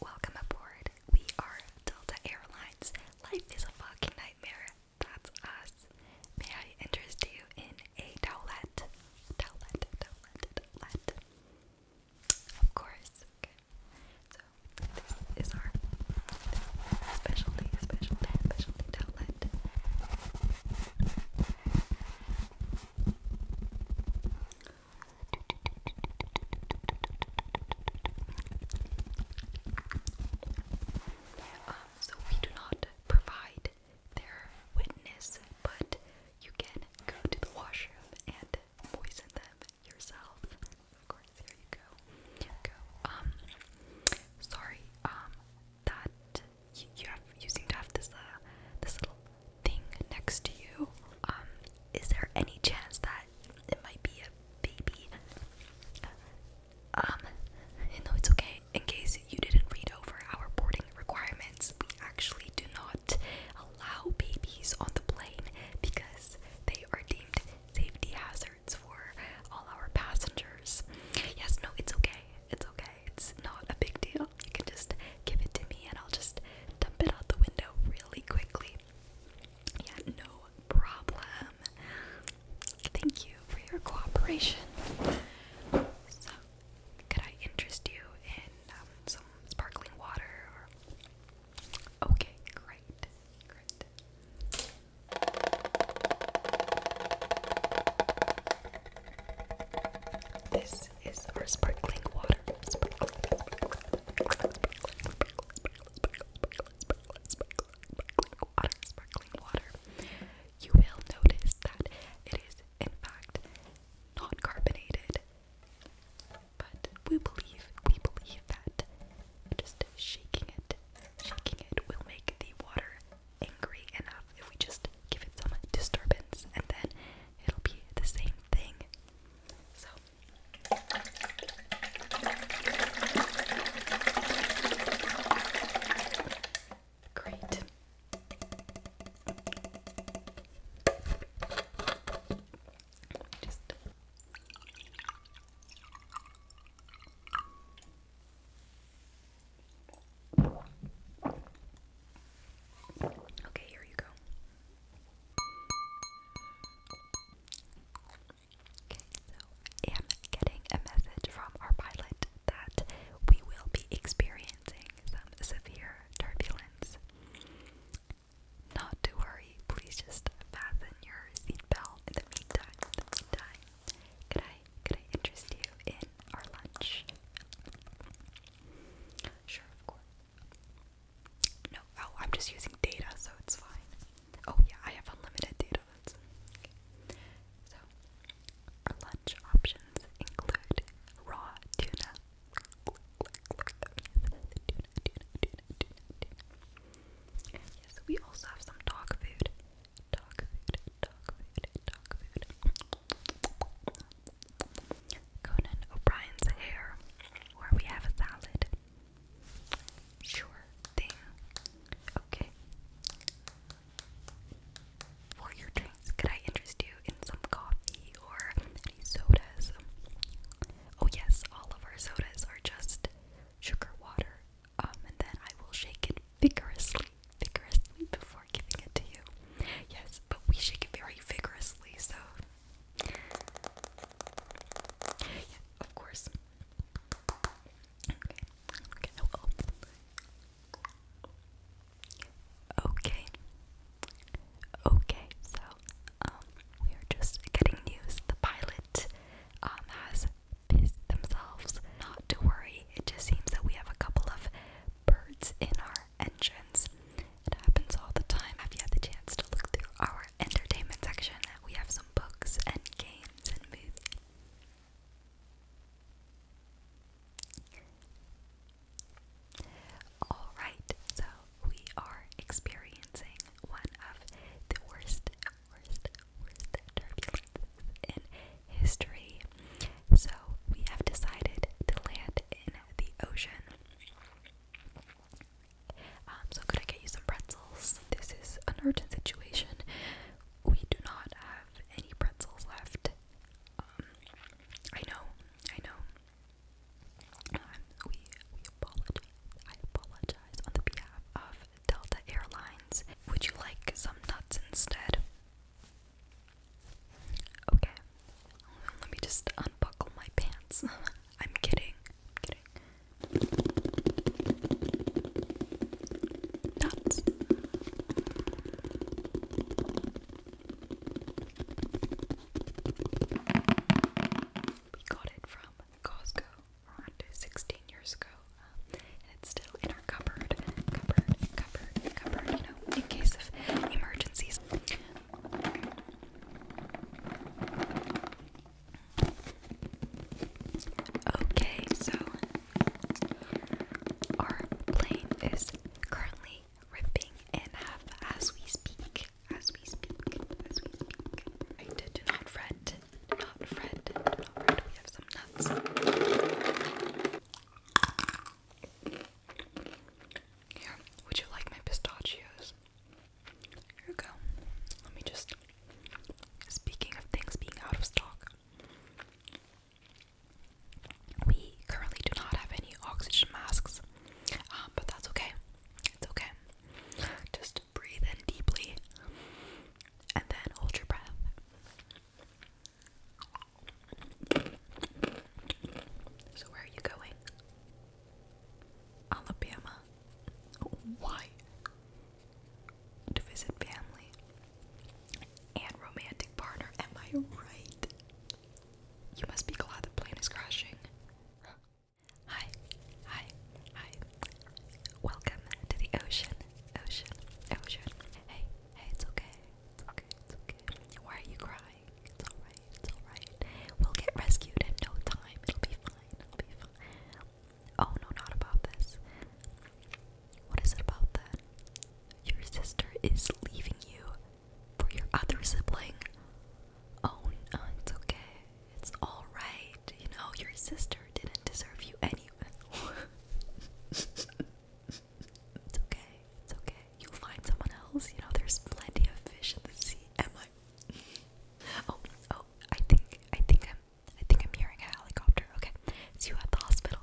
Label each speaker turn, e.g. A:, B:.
A: Welcome aboard. We are Delta Airlines. Life is a fucking nightmare. That's us. May I interest you in a towelette? Towelette, towelette, towelette. Of course. Okay. So, this is our specialty, specialty, specialty towelette. Um, so we do not provide their witness, but you can go to the washroom and poison them yourself. Of course, there you go. go. Um, sorry. Um, that you, have you seem to have this uh, this little thing next to you. Um, is there any chance that it might be a baby? Um, no, it's okay. In case you didn't read over our boarding requirements, we actually do not allow babies on the plane because they are deemed safety hazards for all our passengers. Yes, no, it's okay. It's okay. It's not a big deal. You can just give it to me and I'll just dump it out the window really quickly. Yeah, no problem. Thank you for your cooperation. So, could I interest you in um, some sparkling water? Okay, great, great. This this is our sparkling water. water, sparkling water. You will notice that it is, in fact, not carbonated. But we believe, we believe that just shaking it, shaking it will make the water angry enough if we just give it some disturbance and then it'll be the same thing. So great. Just Okay, here you go. Okay, so I am getting a message from our pilot that we will be experiencing some severe turbulence. Not to worry, please just fasten your seatbelt in the meantime. could I could I interest you in our lunch? Sure, of course. No, oh, I'm just using data, so it's fine. Oh, yeah, I have unlimited data. That's okay. So, our lunch options include raw tuna. Tuna, tuna, tuna, tuna, tuna. Yes, we also have some dog food. Dog food, dog food, dog food. Conan O'Brien's hair, where we have a salad. Sure thing. Okay. For your drinks, could I interest you in some coffee or sodas? Oh, yes, all of our sodas are just sugar water. Um, and then I will shake it vigorously vigorously before giving it to you. Yes, but we shake it very vigorously, so. Yeah, of course. Okay, okay, well. Okay. Okay, so um we are just getting news. The pilot um has pissed themselves. Not to worry, it just seems that we have a couple of birds in our engines. It happens all the time. Have you had the chance to look through our entertainment section? We have some books and games and movies. Alright, so we are experiencing one of the worst, worst, worst turbulences in history. So we have decided to land in the ocean. Um, so I'm get you some pretzels. This is an urgent situation. We do not have any pretzels left. Um, I know, I know. Um, we we apologize. I apologize on the behalf of Delta Airlines. Would you like some nuts instead? Okay. Let me just unbuckle my pants. I'm kidding. kidding. Nuts. We got it from Costco around 16 years ago, and it's still in our cupboard, cupboard, cupboard, cupboard, you know, in case of emergencies. Okay, so our plane is currently ripping in half as we speak. As we speak, as we speak. I did not fret. Do Do not have would you like my pistachios? Here you go. Let me just. Speaking of things being out of stock, we currently do not have any oxygen masks, um, but that's okay. It's okay. Just breathe in deeply and then hold your breath. So, where are you going? Alabama. Why? To visit family and romantic partner. Am I right? You must be glad the plane is crashing. Hi, hi, hi. Welcome to the ocean, ocean, ocean. Hey, hey, it's okay, it's okay, it's okay. Why are you crying? It's alright, it's alright. We'll get rescued in no time. It'll be fine, it'll be fine. Oh no, not about this. What is it about that? Your sister is leaving you for your other sibling. Oh no, it's okay. It's alright, you know, your sister didn't deserve you anyway. it's okay, it's okay. You'll find someone else, you know, there's plenty of fish in the sea. Am Oh, oh, I think, I think I'm, I think I'm hearing a helicopter. Okay, it's you at the hospital.